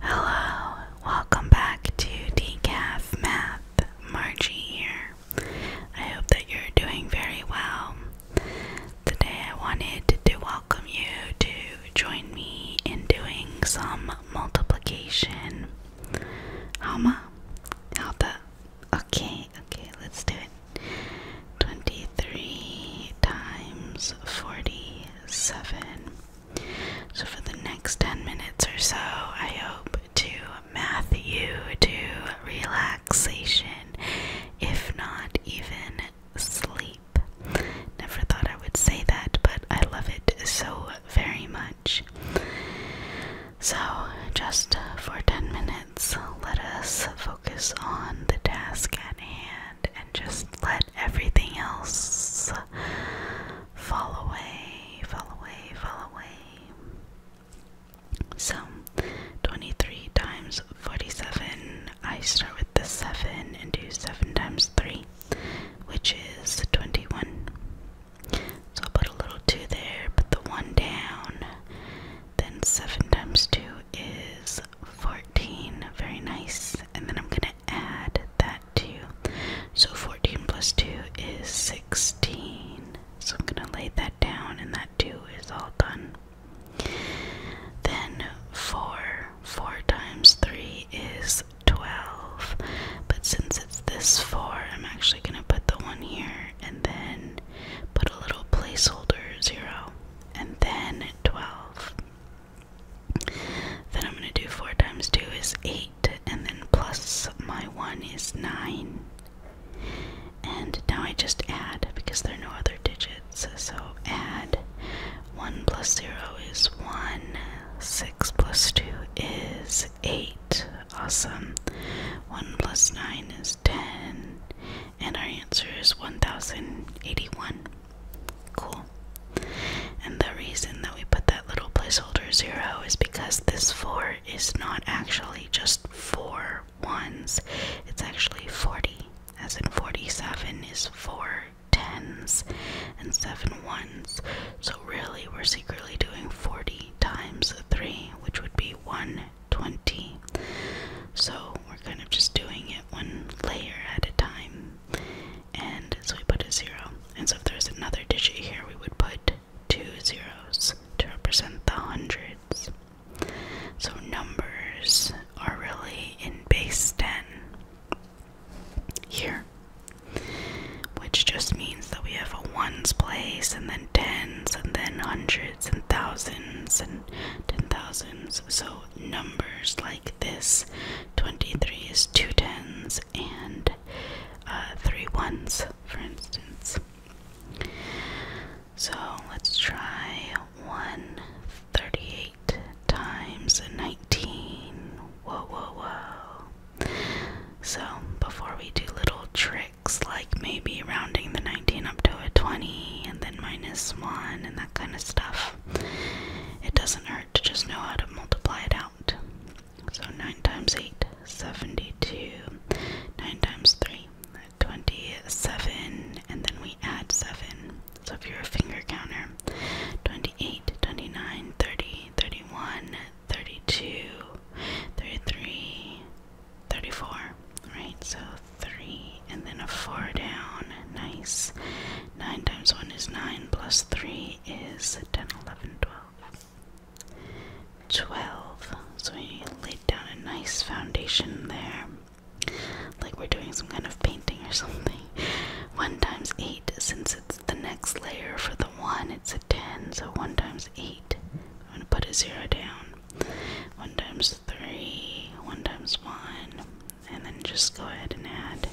Hello, welcome back to Decaf Math. Margie here. I hope that you're doing very well. Today I wanted to welcome you to join me in doing some multiplication. Hama? Hata? Okay, okay, let's do it. 23 times 40 seven. So for the next ten minutes or so, I hope to math you to relaxation, if not even sleep. Never thought I would say that, but I love it so very much. So, just for 10 minutes, let us focus on the task at hand and just let everything else fall away, fall away, fall away. So 23 times 47, I start with the 7 and do 7 times 3, which is 21. So i put a little 2 there, put the 1 down, then 7 times 2 is 14. Very nice. And then I'm going to add that to. So 14 plus 2 is 16. So I'm going to lay that down, and that 2 is all done. Then 4. 4 times 3 is 12. But since it's this 4, I'm actually going to put the 1 here and then put a little placeholder 0 and then 12. Then I'm going to do 4 times 2 is 8, and then plus my 1 is 9. And now I just add because there are no other digits. So add 1 plus 0 is 1, 6 plus 2 is 8. Awesome. 1 plus 9 is 10 and our answer is 1081. Cool. And the reason that we put that little placeholder 0 is because this 4 is not actually just 4 ones, it's actually 40, as in 47 is 4 tens and 7 ones. So really, we're secretly doing 40 times 3, which would be 1 20. So we're kind of just doing it one layer at a time. And so we put a zero. And so if there's another digit here, we would put two zeros to represent the hundreds. So numbers are really in base 10 here. Which just means that we have a ones place and then tens and then hundreds and thousands and ten thousands. So numbers like this 23 is two tens and uh, three ones, for instance. So let's try 138 times 19. Whoa, whoa, whoa. So before we do little tricks, like maybe rounding the 19 up to a 20 and then minus 1 and that kind of stuff. It doesn't hurt to just know how to multiply it out. So 9 times 8, 72. 9 times 3, 27. And then we add 7. So if you're a finger counter, 28, 29, 30, 31, 32, 33, 34, right? So 3 and then a 4 down. Nice. 9 times 1 is 9, plus 3 is 10, 11, 12. 12. So we laid down a nice foundation there. Like we're doing some kind of painting or something. 1 times 8, since it's the next layer for the 1? It's a 10, so 1 times 8. I'm going to put a 0 down. 1 times 3, 1 times 1, and then just go ahead and add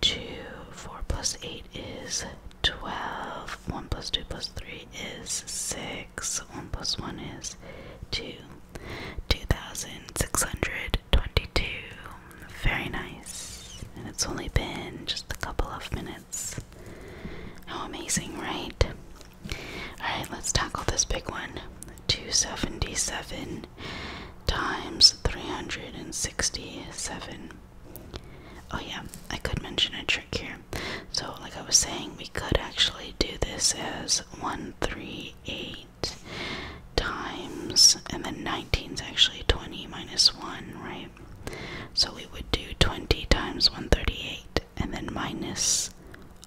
2. 4 plus 8 is 12. 1 plus 2 plus 3 is 6. 1 plus 1 is 2. 2,622. Very nice. And it's only been just a couple of minutes. How amazing, right? Alright, let's tackle this big one 277 times 367. Oh, yeah, I could mention a trick here. So, like I was saying, we could actually do this as 138 times, and then 19 is actually 20 minus 1, right? So we would do 20 times 138, and then minus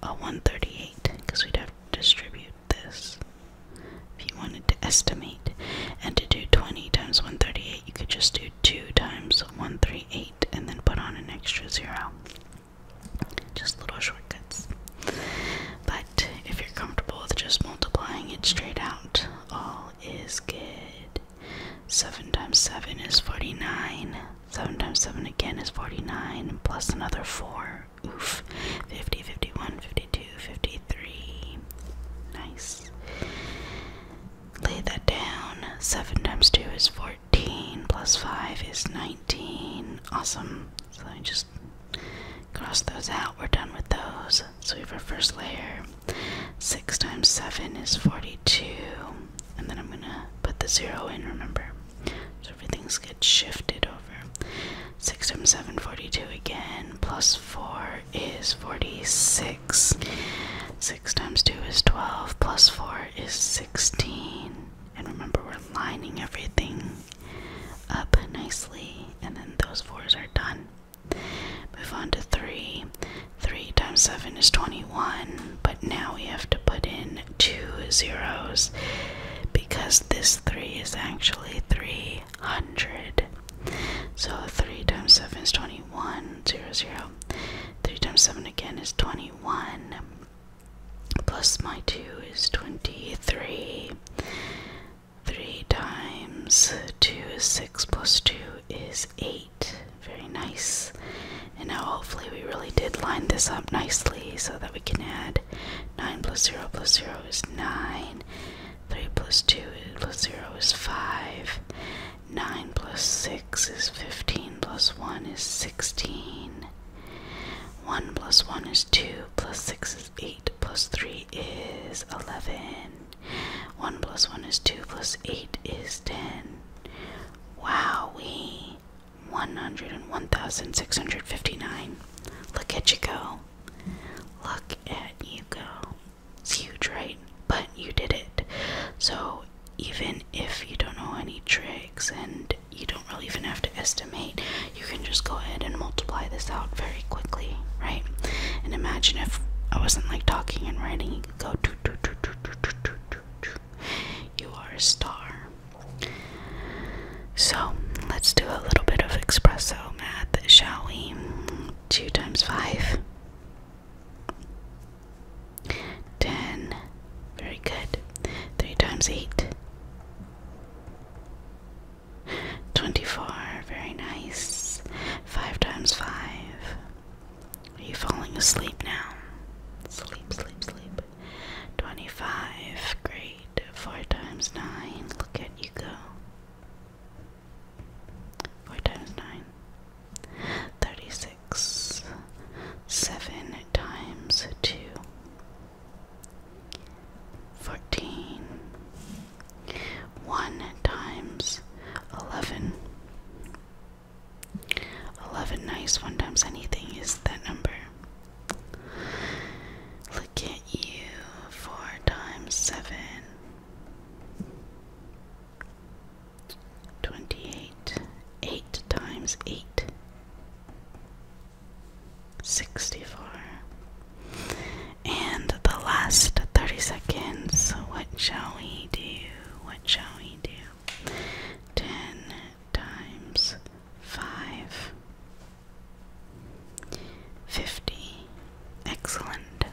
a 138, because we'd have to distribute this. If you wanted to estimate, and to do 20 times 138, you could just do 2 times 138 and then put on an extra zero. Just little shortcuts. But if you're comfortable with just multiplying it straight out, all is good. 7 times 7 is 49. 7 times 7 again is 49, plus another 4. Oof. 50, 51, 52, 53. Nice. Lay that down. 7 times 2 is 14, plus 5 is 19. Awesome. So I just cross those out. We're done with those. So we have our first layer. 6 times 7 is 42. And then I'm going to put the 0 in, remember? So everything's gets shifted over. 6 times 7, 42 again. Plus 4 is 46. 6 times 2 is 12. Plus 4 is 16. And remember, we're lining everything up nicely, and then those fours are done. Move on to three. Three times seven is 21, but now we have to put in two zeros because this three is actually 300. So 3 times 7 is 21, 0, 3 times 7 again is 21 plus my 2 is 23. 3 times 2 is 6, plus 2 is 8. Very nice. And now hopefully we really did line this up nicely so that we can add 9 plus 0 plus 0 is 9. 3 plus 2 plus 0 is 5. 9 plus 6 is 15, plus 1 is 16. 1 plus 1 is 2, plus 6 is 8, plus 3 is 11. 1 plus 1 is 2, plus 8 is 10. Wow, we 101,659. Look at you go. Look at you go. It's huge, right? But you did it. So even if you don't know any tricks and you don't really even have to estimate, you can just go ahead and multiply this out very quickly, right? And imagine if I wasn't like talking and writing, you could go You are a star. So let's do a little bit of espresso math, shall we? Two times five. 10 very good 3 times 8 24 very nice 5 times 5 are you falling asleep now sleep sleep sleep 25 great 4 times 9 look at you go 4 times 9 36 7 times 2 14 times 11 11 nice 1 times anything is that number look at you 4 times 7 Twenty-eight. Eight times eight. Sixty-four. And the last thirty seconds. What shall we do? What shall we do? Ten times five. Fifty. Excellent.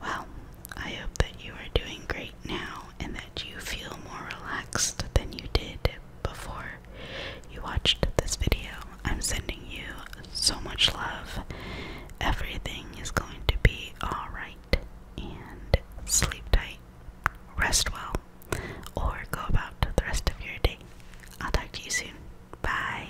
Well, I hope that you are doing great now and that you feel more relaxed than you did before you watched this video. I'm sending you so much love. Everything is going to be alright. And sleep tight, rest well, or go about the rest of your day. I'll talk to you soon. Bye.